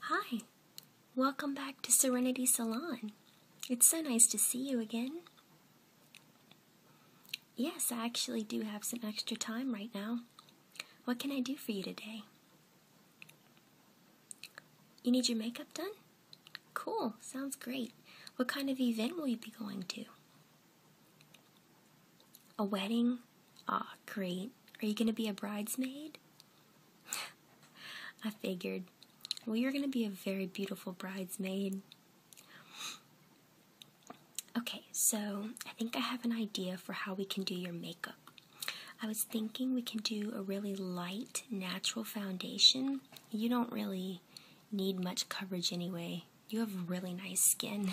Hi, welcome back to Serenity Salon. It's so nice to see you again. Yes, I actually do have some extra time right now. What can I do for you today? You need your makeup done? Cool, sounds great. What kind of event will you be going to? A wedding? Ah, great. Are you going to be a bridesmaid? I figured. Well, you're going to be a very beautiful bridesmaid. Okay, so I think I have an idea for how we can do your makeup. I was thinking we can do a really light, natural foundation. You don't really need much coverage anyway. You have really nice skin.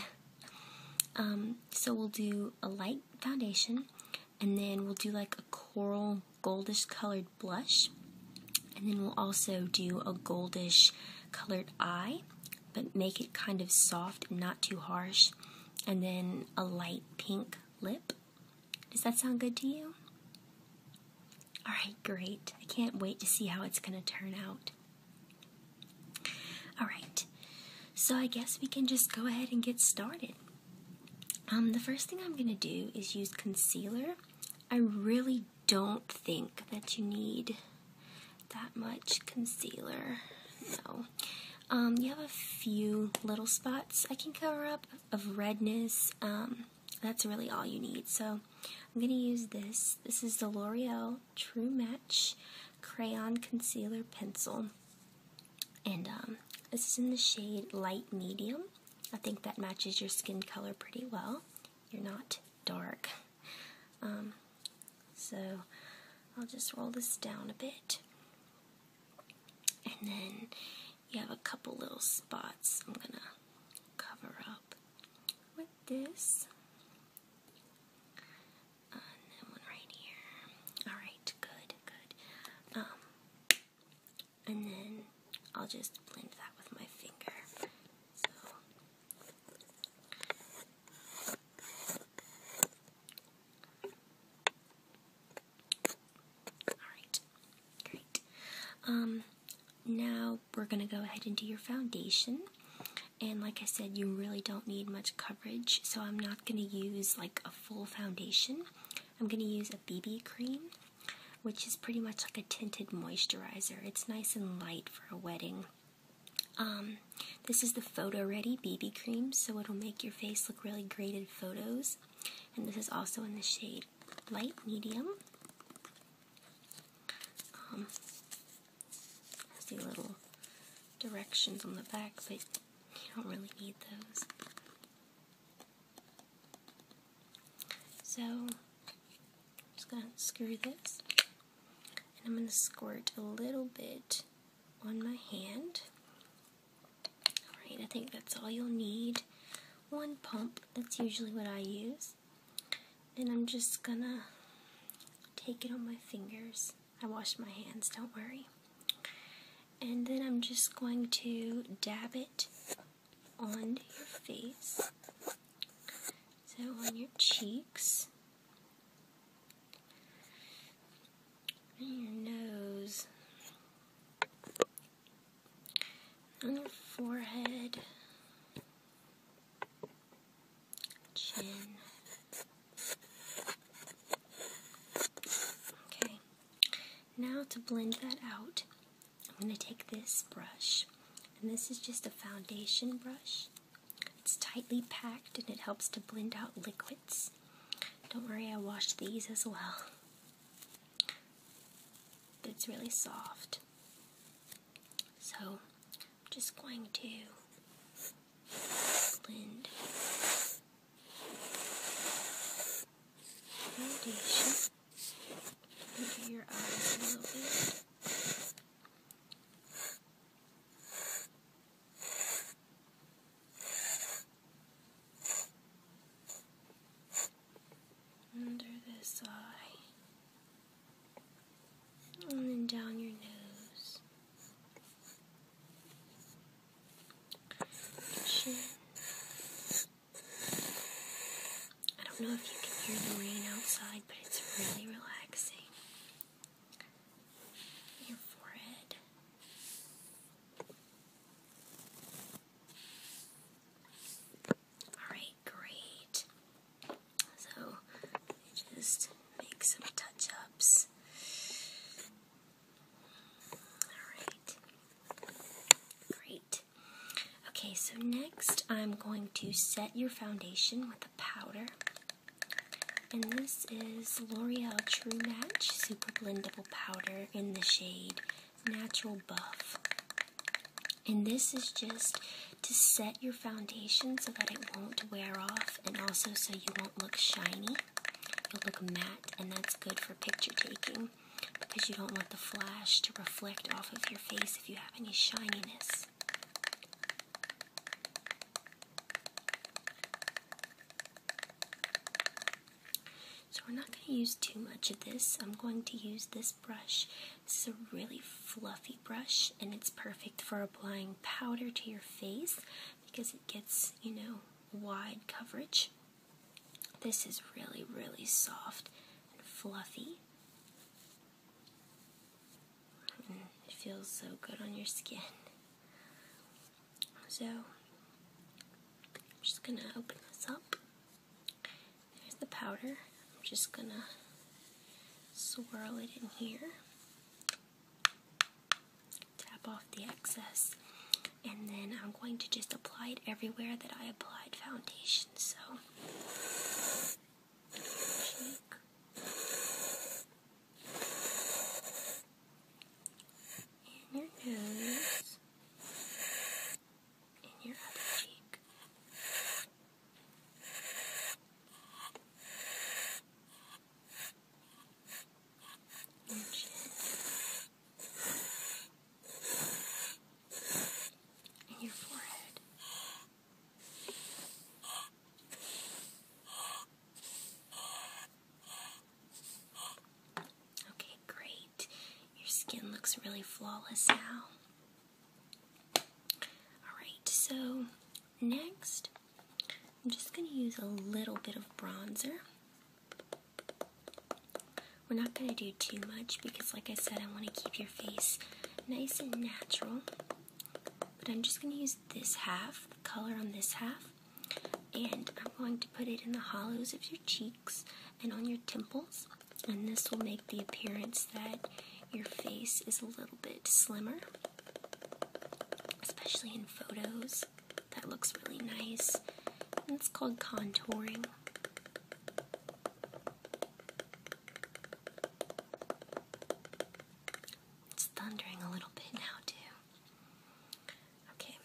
Um, so we'll do a light foundation, and then we'll do like a coral goldish colored blush, and then we'll also do a goldish colored eye, but make it kind of soft not too harsh, and then a light pink lip. Does that sound good to you? Alright, great. I can't wait to see how it's going to turn out. Alright, so I guess we can just go ahead and get started. Um, the first thing I'm going to do is use concealer. I really don't think that you need that much concealer. So um, you have a few little spots I can cover up of redness. Um, that's really all you need. So I'm going to use this. This is the L'Oreal True Match Crayon Concealer Pencil. And um, this is in the shade Light Medium. I think that matches your skin color pretty well. You're not dark. Um, so I'll just roll this down a bit. And then you have a couple little spots I'm going to cover up with this and one right here. Alright, good, good. Um, and then I'll just blend that with my finger. Alright, great. Um, now we're going to go ahead and do your foundation. And like I said, you really don't need much coverage, so I'm not going to use like a full foundation. I'm going to use a BB cream, which is pretty much like a tinted moisturizer. It's nice and light for a wedding. Um, this is the Photo Ready BB cream, so it'll make your face look really great in photos. And this is also in the shade Light Medium. Um, see little directions on the back, but you don't really need those. So, I'm just going to screw this. And I'm going to squirt a little bit on my hand. Alright, I think that's all you'll need. One pump, that's usually what I use. And I'm just going to take it on my fingers. I washed my hands, don't worry. And then I'm just going to dab it on your face. So on your cheeks. your nose. On your forehead. Chin. Okay, now to blend that out, I'm going to take this brush, and this is just a foundation brush. It's tightly packed and it helps to blend out liquids. Don't worry, I washed these as well. it's really soft. So I'm just going to blend foundation under your eyes a little bit. Under this eye, and then down your nose. I don't know if you can hear the rain outside, but it's really relaxing. Your forehead. Alright, great. So, just make some touch ups. Great. Okay, so next I'm going to set your foundation with a powder. And this is L'Oreal True Match Super Blendable Powder in the shade Natural Buff. And this is just to set your foundation so that it won't wear off and also so you won't look shiny you will look matte, and that's good for picture taking because you don't want the flash to reflect off of your face if you have any shininess. So, we're not going to use too much of this. I'm going to use this brush. This is a really fluffy brush, and it's perfect for applying powder to your face because it gets, you know, wide coverage. This is really, really soft and fluffy. Mm, it feels so good on your skin. So, I'm just gonna open this up. There's the powder. I'm just gonna swirl it in here tap off the excess, and then I'm going to just apply it everywhere that I applied foundation. So, In your nose, in your other cheek, and your forehead. Okay, great. Your skin looks really flawless now. Alright, so next I'm just going to use a little bit of bronzer. We're not going to do too much because, like I said, I want to keep your face nice and natural. But I'm just going to use this half, the color on this half, and I'm going to put it in the hollows of your cheeks and on your temples. And this will make the appearance that your face is a little bit slimmer, especially in photos that looks really nice. And it's called contouring. It's thundering a little bit now, too. Okay.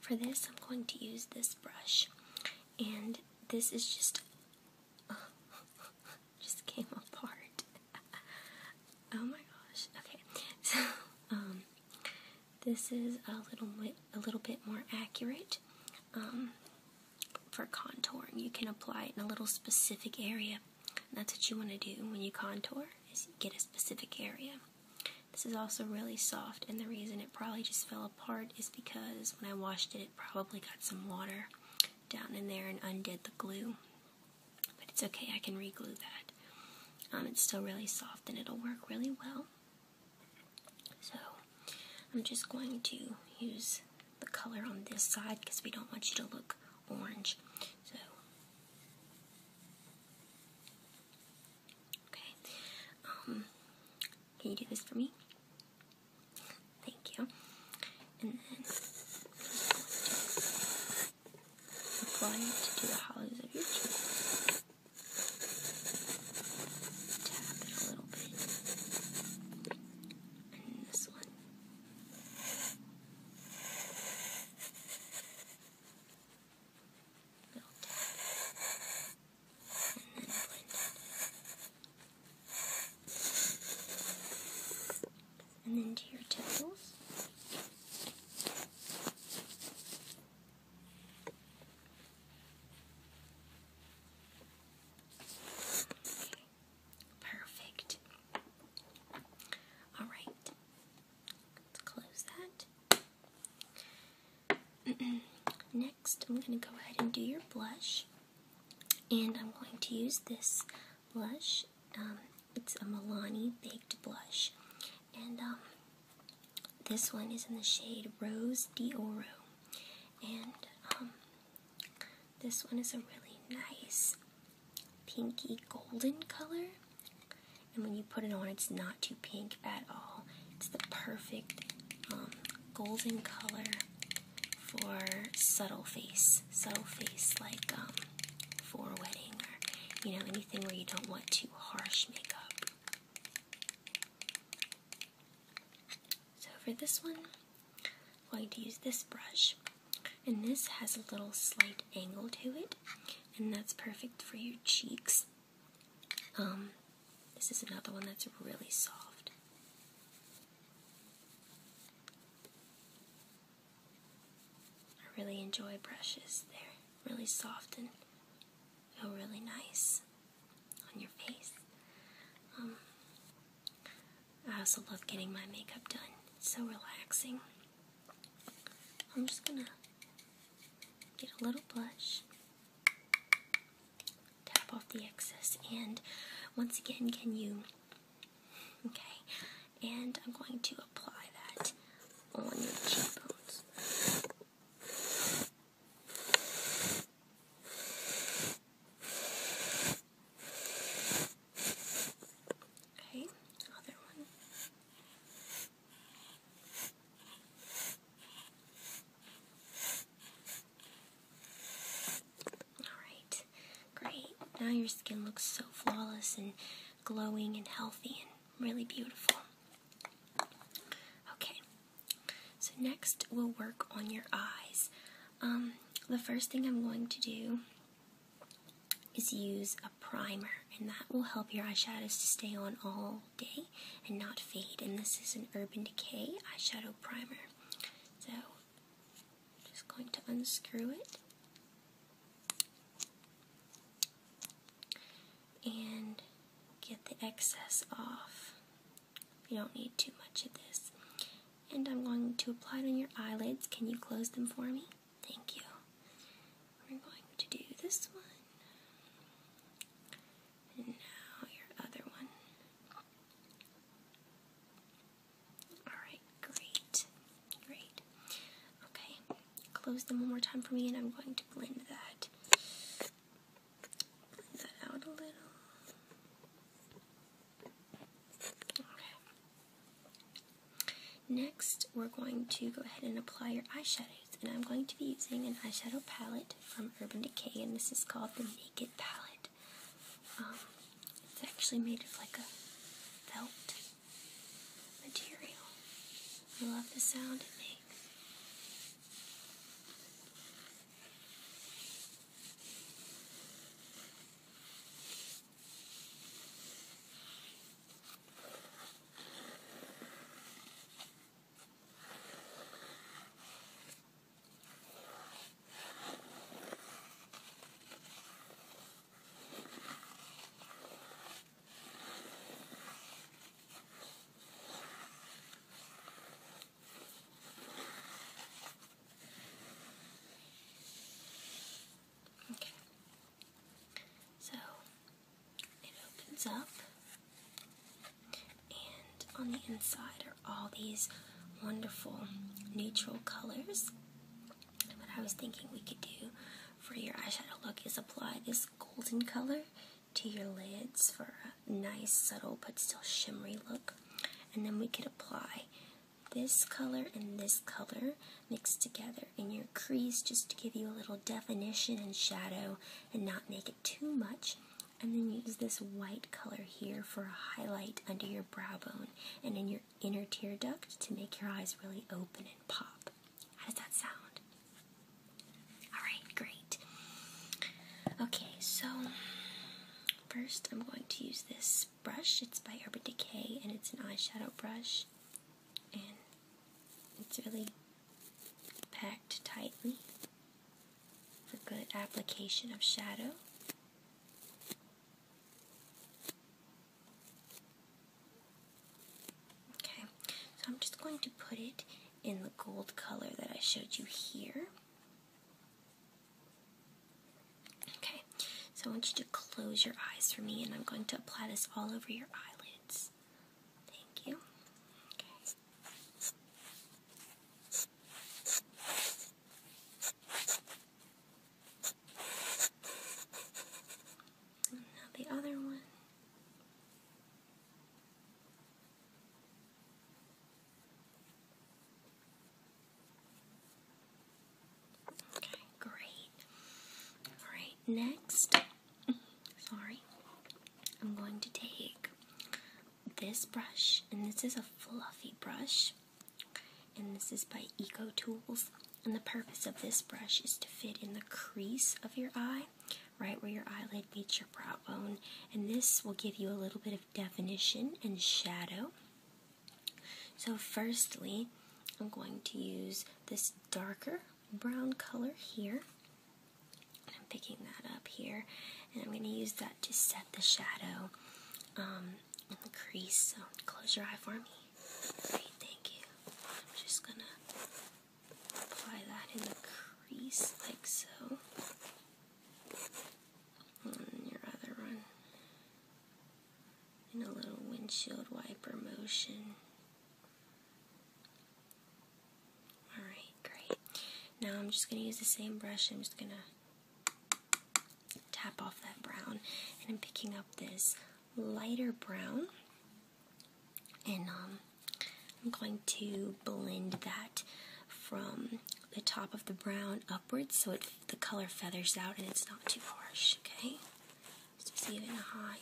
For this, I'm going to use this brush. And this is just. just came apart. oh my gosh. Okay. So, um, this is a little bit, a little bit more accurate. Um, for contouring, you can apply it in a little specific area. that's what you want to do when you contour is get a specific area. This is also really soft, and the reason it probably just fell apart is because when I washed it, it probably got some water down in there and undid the glue. But it's okay, I can reglue that. Um, it's still really soft and it'll work really well. So I'm just going to use the color on this side because we don't want you to look orange. So okay, um, can you do this for me? Thank you. Apply it to the hollows of your cheek. Tap it a little bit. And this one. Little tap. And then blend it and then to your toes. Perfect. All right. Let's close that. Next, I'm going to go ahead and do your blush. And I'm going to use this blush. Um, it's a Milani Baked Blush. And um, this one is in the shade Rose D'Oro. And um, this one is a really nice pinky golden color. And when you put it on, it's not too pink at all. It's the perfect golden color for subtle face. Subtle face, like for a wedding or, you know, anything where you don't want too harsh makeup. So for this one, I'm going to use this brush. And this has a little slight angle to it, and that's perfect for your cheeks. Um, this is another one that's really soft. I really enjoy brushes. They're really soft and feel really nice on your face. Um, I also love getting my makeup done. so relaxing. I'm just gonna get a little blush, tap off the excess, and once again, can you? Okay and I'm going to apply that on your cheekbones. Okay, other one. Alright, great. Now your skin looks so flawless and glowing and healthy really beautiful. Okay, so next we'll work on your eyes. Um, the first thing I'm going to do is use a primer, and that will help your eyeshadows to stay on all day and not fade. And this is an Urban Decay eyeshadow primer. So, just going to unscrew it and get the excess off. You don't need too much of this. And I'm going to apply it on your eyelids. Can you close them for me? Thank you. We're going to do this one. now your other one. Alright, great. Great. Okay, close them one more time for me, and I'm going to blend that. out a little. Okay. Next, we're going to go ahead and apply your eyeshadows, and I'm going to be using an eyeshadow palette from Urban Decay, and this is called the Naked Palette. Um, it's actually made of like a felt material. I love the sound it makes. Okay. So it opens up, and on the inside are all these wonderful neutral colors what I was thinking we could do for your eyeshadow look is apply this golden color to your lids for a nice, subtle, but still shimmery look. And then we could apply this color and this color mixed together in your crease just to give you a little definition and shadow and not make it too much. And then use this white color here for a highlight under your brow bone and in your inner tear duct to make your eyes really open and pop. How does that sound? Alright, great. Okay, so first I'm going to use this brush. It's by Urban Decay and it's an eyeshadow brush. And it's really packed tightly for good application of shadow. Okay, so I'm just going to put it in the gold color that I showed you here. Okay, so I want you to close your eyes for me, and I'm going to apply this all over your eyelids. Thank you now the other one. Okay, great. Alright, next, sorry, I'm going to take this brush, and this is a fluffy brush, and this is by Eco Tools. And the purpose of this brush is to fit in the crease of your eye, right where your eyelid meets your brow bone. And this will give you a little bit of definition and shadow. So, firstly, I'm going to use this darker brown color here. And I'm picking that up here, and I'm going to use that to set the shadow um, in the crease. So, close your eye for me. Okay, thank you. I'm just gonna apply that in the crease like so. And your other one. In a little windshield wiper motion. Alright, great. Now I'm just gonna use the same brush. I'm just gonna tap off that brown. And I'm picking up this lighter brown. And um, I'm going to blend that from the top of the brown upwards so the color feathers out and it's not too harsh, okay? So even higher.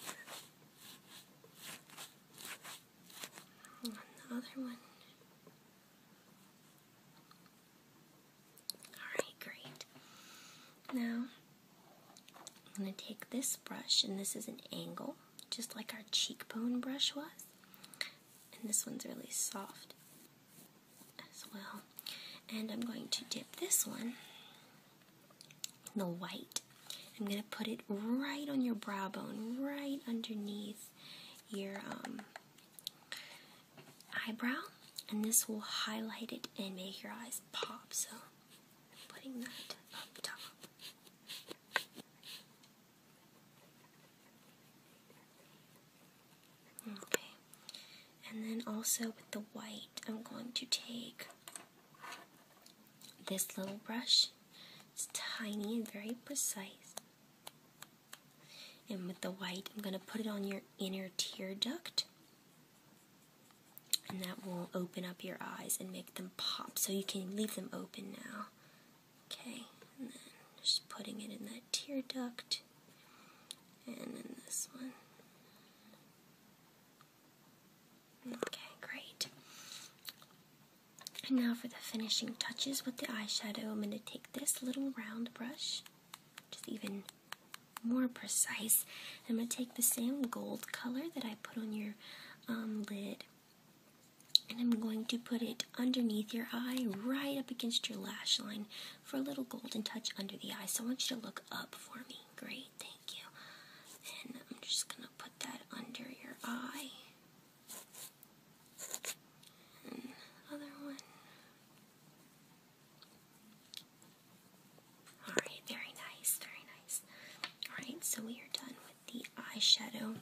And one. Alright, great. Now, I'm going to take this brush, and this is an angle, just like our cheekbone brush was. And this one's really soft as well. And I'm going to dip this one in the white. I'm going to put it right on your brow bone, right underneath your um, eyebrow. And this will highlight it and make your eyes pop. So and putting that up top. Okay, and then also with the white, I'm going to take this little brush. It's tiny and very precise. And with the white, I'm going to put it on your inner tear duct and that will open up your eyes and make them pop. So you can leave them open now. Okay, and then just putting it in that tear duct, and then this one. Okay, great. And now for the finishing touches with the eyeshadow, I'm going to take this little round brush, just even more precise. I'm going to take the same gold color that I put on your um, lid and I'm going to put it underneath your eye, right up against your lash line for a little golden touch under the eye. So I want you to look up for me. Great, thank you. And I'm just going to put that under your eye. other one. Alright, very nice, very nice. Alright, so we are done with the eyeshadow.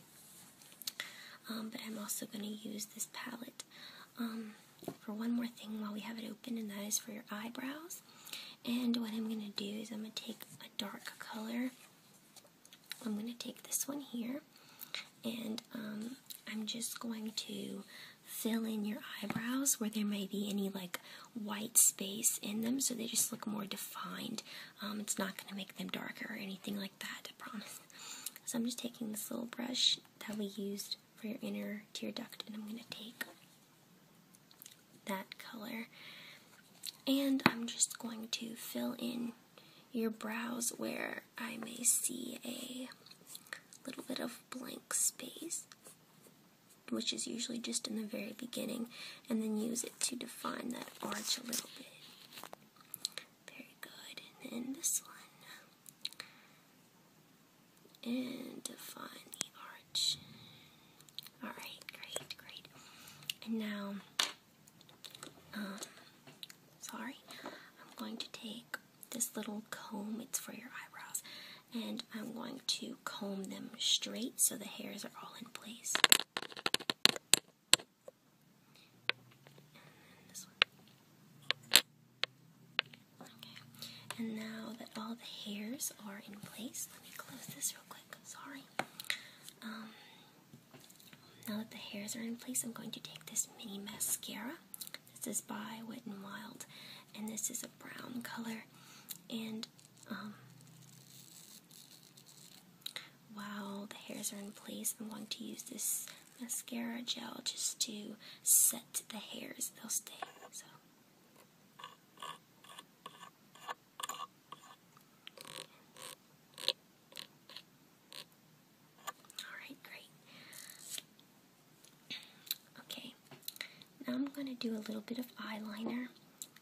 Um, but I'm also going to use this palette um, for one more thing while we have it open, and that is for your eyebrows. And what I'm going to do is I'm going to take a dark color. I'm going to take this one here, and um, I'm just going to fill in your eyebrows where there may be any like white space in them, so they just look more defined. Um, it's not going to make them darker or anything like that, I promise. So I'm just taking this little brush that we used for your inner tear duct, and I'm going to take that color. And I'm just going to fill in your brows where I may see a little bit of blank space which is usually just in the very beginning, and then use it to define that arch a little bit. Very good. And then this one. And define the arch. Alright, great, great. And now, um, sorry, I'm going to take this little comb, it's for your eyebrows and I'm going to comb them straight so the hairs are all in place. And this one. Okay. And now that all the hairs are in place, let me close this real quick. Sorry. Um, now that the hairs are in place, I'm going to take this mini mascara. This is by Wet n Wild, and this is a brown color. And um, while the hairs are in place, I'm going to use this mascara gel just to set the hairs. They'll stay. Alright, great. Okay, now I'm going to do a little bit of eyeliner.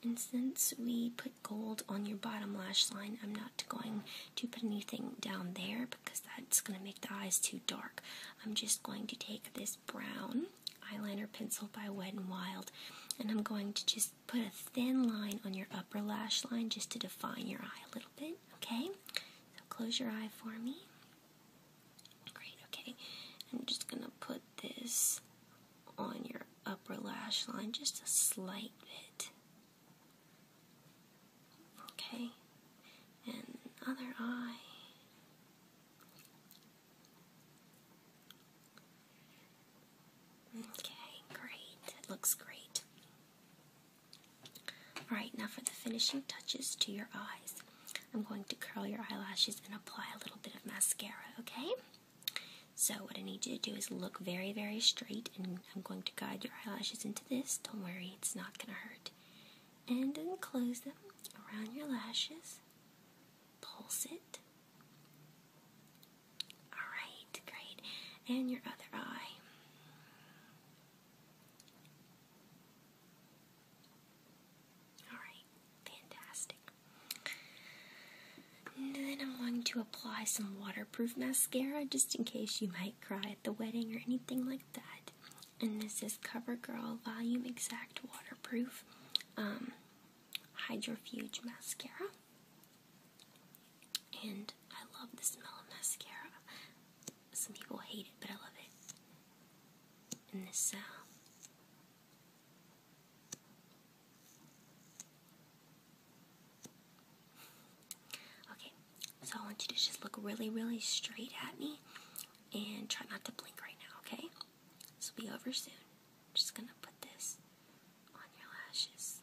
And since we put gold on your bottom lash line, I'm not going to put anything down there because that's going to make the eyes too dark. I'm just going to take this brown eyeliner pencil by Wet n Wild and I'm going to just put a thin line on your upper lash line just to define your eye a little bit, okay? So close your eye for me. Great, okay. I'm just gonna put this on your upper lash line just a slight bit. Okay, and other eye. Okay, great. It looks great. Alright, now for the finishing touches to your eyes. I'm going to curl your eyelashes and apply a little bit of mascara, okay? So, what I need you to do is look very, very straight, and I'm going to guide your eyelashes into this. Don't worry, it's not going to hurt. And then close them around your lashes, pulse it. Alright, great. And your other eye. Alright, fantastic. then I'm going to apply some waterproof mascara just in case you might cry at the wedding or anything like that. And this is CoverGirl Volume Exact Waterproof um, Mascara. And I love the smell of mascara. Some people hate it, but I love it. In this uh, Okay, so I want you to just look really, really straight at me and try not to blink right now, okay? This will be over soon. just gonna put this on your lashes.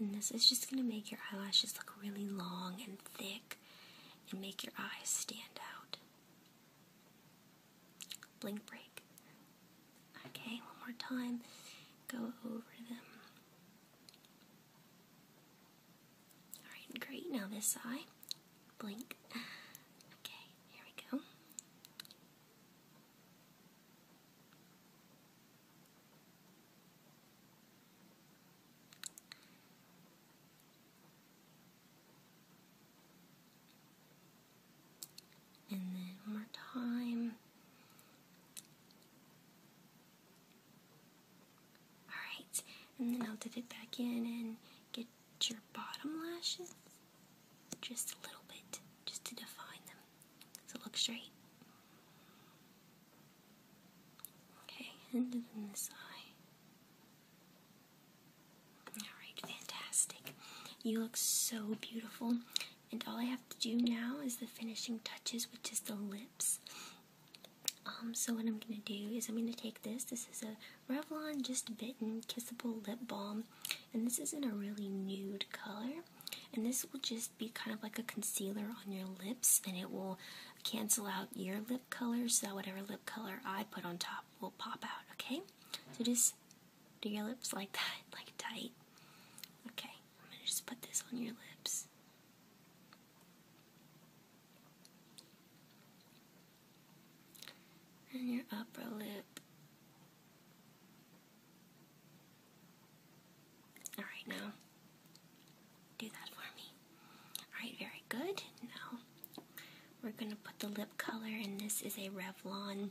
And this is just gonna make your eyelashes look really long and thick and make your eyes stand out. Blink break. Okay, one more time. Go over them. Alright, great. Now this eye. Blink. Okay, here we go. And then one more time. Alright, and then I'll dip it back in and get your bottom lashes just a little bit, just to define them. So it looks straight. Okay, and then this eye. Alright, fantastic. You look so beautiful. And all I have to do now is the finishing touches, which is the lips. Um, so what I'm going to do is I'm going to take this. This is a Revlon Just Bitten Kissable Lip Balm. And this is in a really nude color. And this will just be kind of like a concealer on your lips. And it will cancel out your lips lip color so that whatever lip color I put on top will pop out, okay? So just do your lips like that, like tight. Okay, I'm gonna just put this on your lips. And your upper lip. Alright, now do that for me. Alright, very good. Now we're going to put the lip color, and this is a Revlon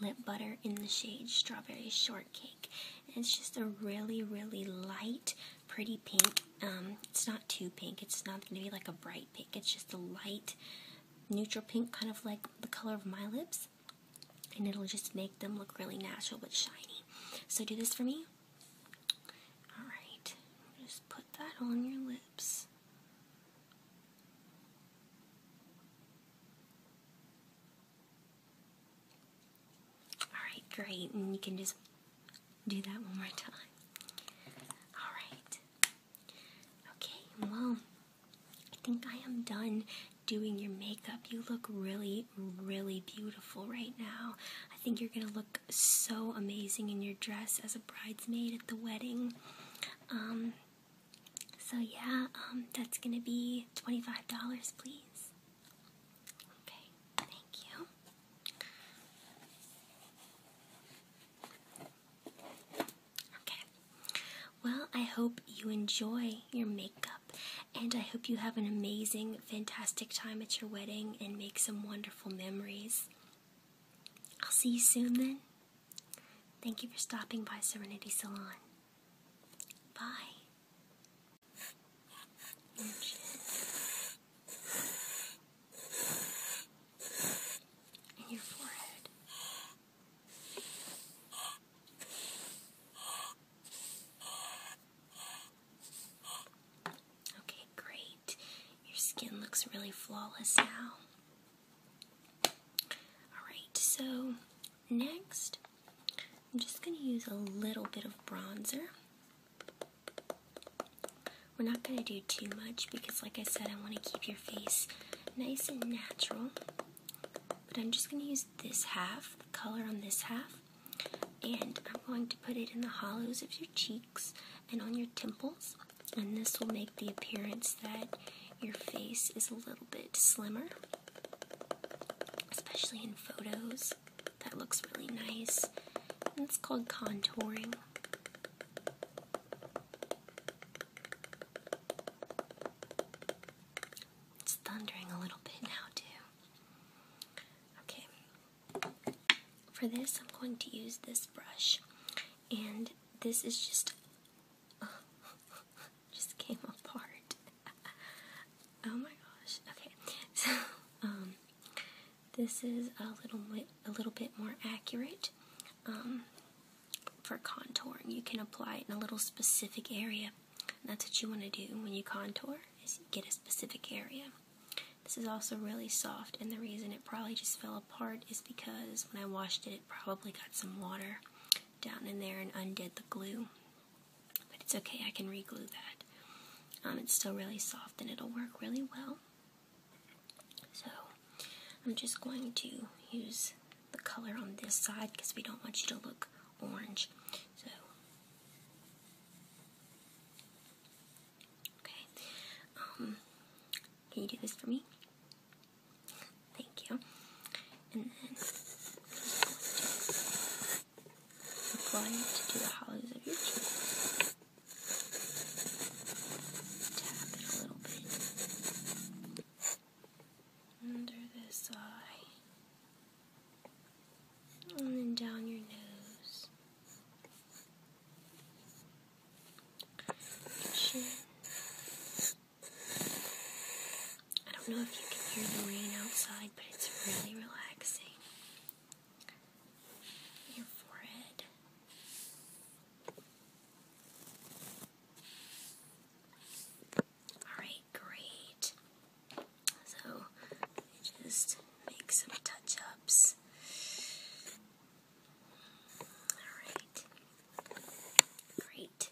lip butter in the shade Strawberry Shortcake. And it's just a really, really light, pretty pink. Um, it's not too pink, it's not going to be like a bright pink, it's just a light, neutral pink, kind of like the color of my lips. And it'll just make them look really natural but shiny. So, do this for me. Alright, just put that on your lips. Alright, great. And you can just do that one more time. Alright. Okay, well, I think I am done doing your makeup. You look really, really beautiful right now. I think you're going to look so amazing in your dress as a bridesmaid at the wedding. Um, so yeah, um, that's gonna be $25, please. Okay, thank you. Okay, well, I hope you enjoy your makeup, and I hope you have an amazing, fantastic time at your wedding and make some wonderful memories. I'll see you soon then. Thank you for stopping by Serenity Salon. Bye. Okay, great. Your skin looks really flawless now. Alright, so next, I'm just going to use a little bit of bronzer. We're not going to do too much because, like I said, I want to keep your face nice and natural. But I'm just going to use this half, the color on this half, and I'm going to put it in the hollows of your cheeks and on your temples. And this will make the appearance that your face is a little bit slimmer, especially in photos. That looks really nice. And it's called contouring. It's thundering a little bit now, too. Okay, for this, I'm going to use this brush, and this is just just came apart. oh my gosh! Okay, so um, this is a little bit a little bit more accurate. Um, for contouring, you can apply it in a little specific area. that's what you want to do when you contour: is get a specific area. This is also really soft, and the reason it probably just fell apart is because when I washed it, it probably got some water down in there and undid the glue. But it's okay, I can reglue that. Um, it's still really soft and it'll work really well. So I'm just going to use the color on this side because we don't want you to look orange. So Okay. Um, can you do this for me? Thank you. And then apply it to the hollows of your cheek. Tap it a little bit under this eye and then down your nose, I don't know if you can hear the rain outside, but it's really relaxing. Your forehead. Alright, great. So, just make some touch ups. Great.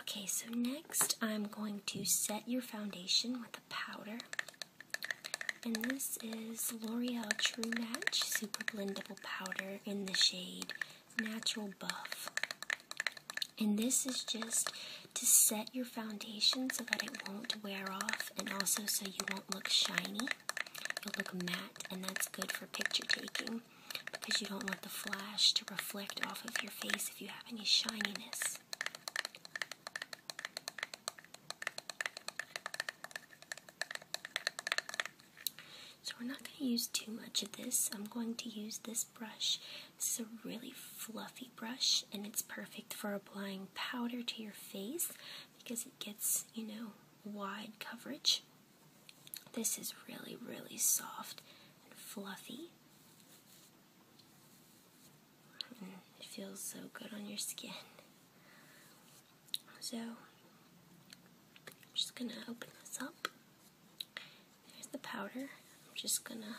Okay, so next I'm going to set your foundation with a powder. And this is L'Oreal True Match Super Blendable Powder in the shade Natural Buff. And this is just to set your foundation so that it won't wear off and also so you won't look shiny. You'll look matte and that's good for picture taking because you don't want the flash to reflect off of your face if you have any shininess. So we're not going to use too much of this. I'm going to use this brush. This is a really fluffy brush and it's perfect for applying powder to your face because it gets, you know, wide coverage. This is really, really soft and fluffy. Mm, it feels so good on your skin. So, I'm just gonna open this up. There's the powder. I'm just gonna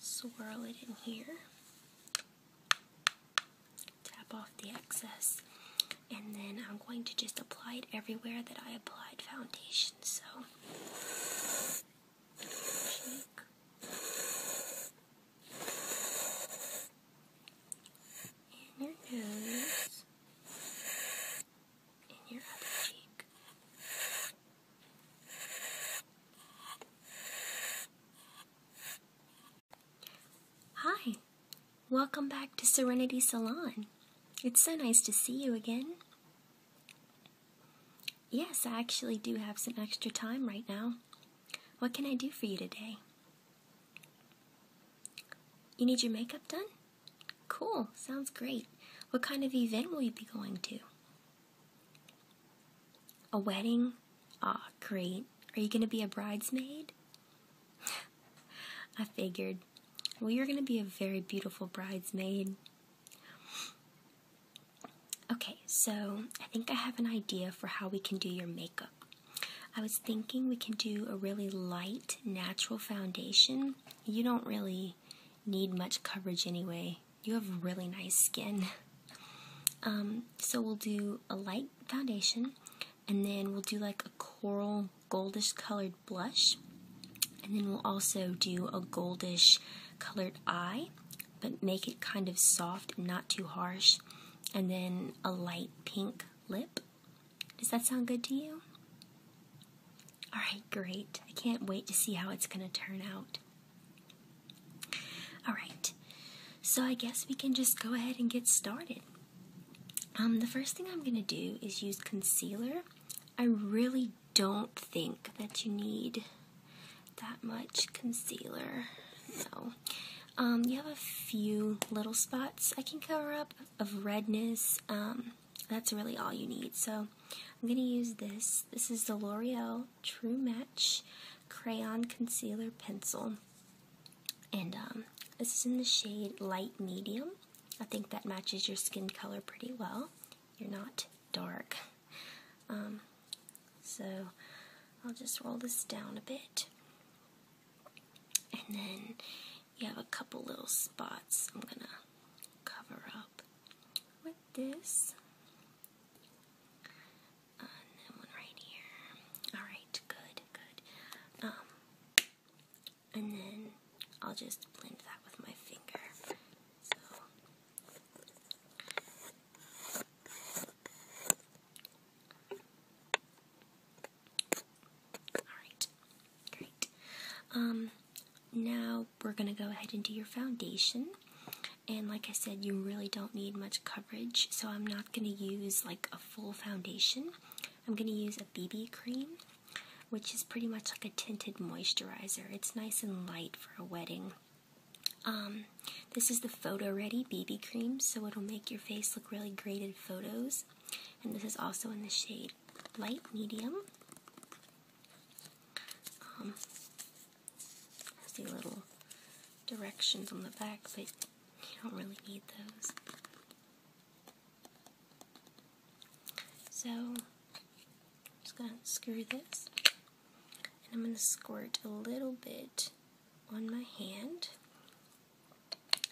swirl it in here tap off the excess, and then I'm going to just apply it everywhere that I applied foundation. So, In your nose, in your other cheek. Hi, welcome back to Serenity Salon. It's so nice to see you again. Yes, I actually do have some extra time right now. What can I do for you today? You need your makeup done? Cool, sounds great. What kind of event will you be going to? A wedding? Ah, great. Are you going to be a bridesmaid? I figured. Well, you're going to be a very beautiful bridesmaid. Okay, so I think I have an idea for how we can do your makeup. I was thinking we can do a really light, natural foundation. You don't really need much coverage anyway. You have really nice skin. Um, so we'll do a light foundation, and then we'll do like a coral goldish colored blush, and then we'll also do a goldish colored eye, but make it kind of soft not too harsh, and then a light pink lip. Does that sound good to you? Alright, great. I can't wait to see how it's going to turn out. Alright, so I guess we can just go ahead and get started. Um, the first thing I'm going to do is use concealer. I really don't think that you need that much concealer. So, um, you have a few little spots I can cover up of redness. Um, that's really all you need. So I'm going to use this. This is the L'Oreal True Match Crayon Concealer Pencil. And um, this is in the shade Light Medium. I think that matches your skin color pretty well. You're not dark. Um, so I'll just roll this down a bit. And then you have a couple little spots I'm going to cover up with this and one right here. All right, good, good. Um, and then I'll just blend that with my finger. So. Alright, great. Um, now we're going to go ahead and do your foundation. And like I said, you really don't need much coverage, so I'm not going to use like a full foundation. I'm going to use a BB cream, which is pretty much like a tinted moisturizer. It's nice and light for a wedding. Um, this is the Photo Ready BB cream, so it'll make your face look really great in photos. And this is also in the shade light medium. Um, has the little directions on the back, but you don't really need those. So, I'm just going to screw this, and I'm going to squirt a little bit on my hand.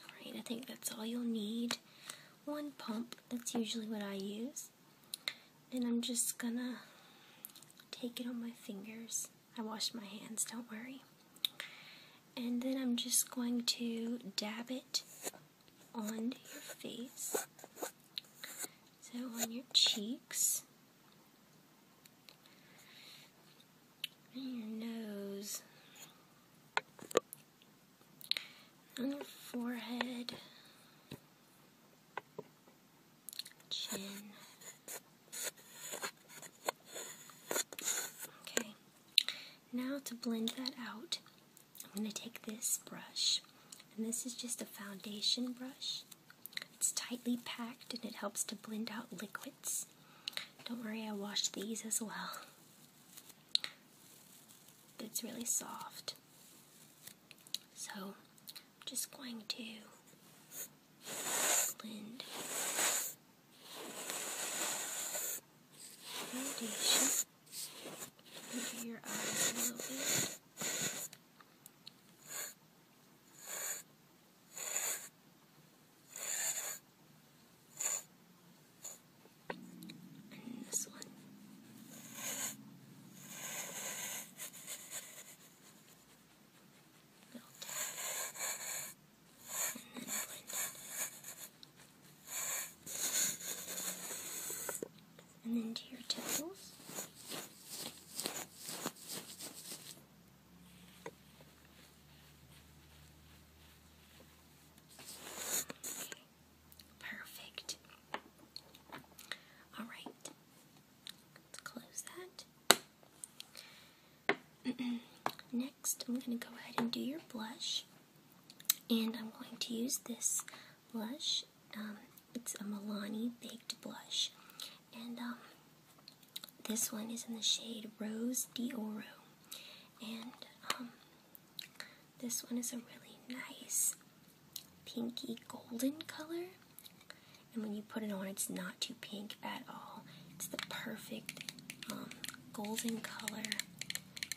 Alright, I think that's all you'll need. One pump, that's usually what I use. And I'm just gonna take it on my fingers. I washed my hands, don't worry. And then I'm just going to dab it on your face. So on your cheeks. your nose. On your forehead. Okay, now to blend that out, I'm going to take this brush, and this is just a foundation brush. It's tightly packed and it helps to blend out liquids. Don't worry, I washed these as well. It's really soft. So just going to blend foundation your eyes a little bit. Melt And then blend And then do your temples. Perfect. All right. Let's close that. Next, I'm going to go ahead and do your blush. And I'm going to use this blush. Um, it's a Milani Baked Blush. And um, this one is in the shade Rose D'Oro. And um, this one is a really nice pinky golden color. And when you put it on, it's not too pink at all. It's the perfect um, golden color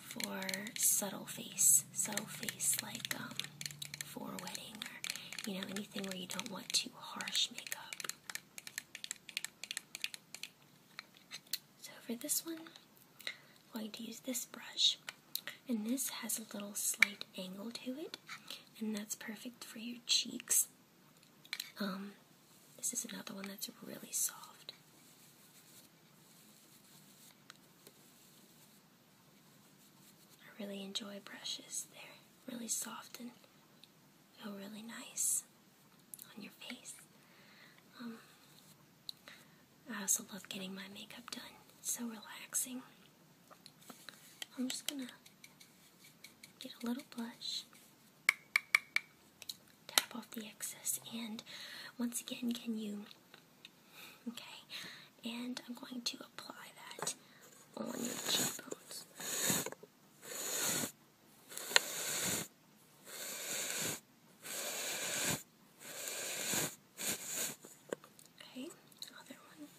for subtle face, subtle face like um, for a wedding or you know anything where you don't want too harsh makeup. So for this one, I'm going to use this brush, and this has a little slight angle to it, and that's perfect for your cheeks. Um, this is another one that's really soft. I really enjoy brushes. They're really soft and feel really nice on your face. Um, I also love getting my makeup done. so relaxing. I'm just gonna get a little blush, tap off the excess, and once again, can you? Okay, and I'm going to apply that on your cheekbones. Okay, other one.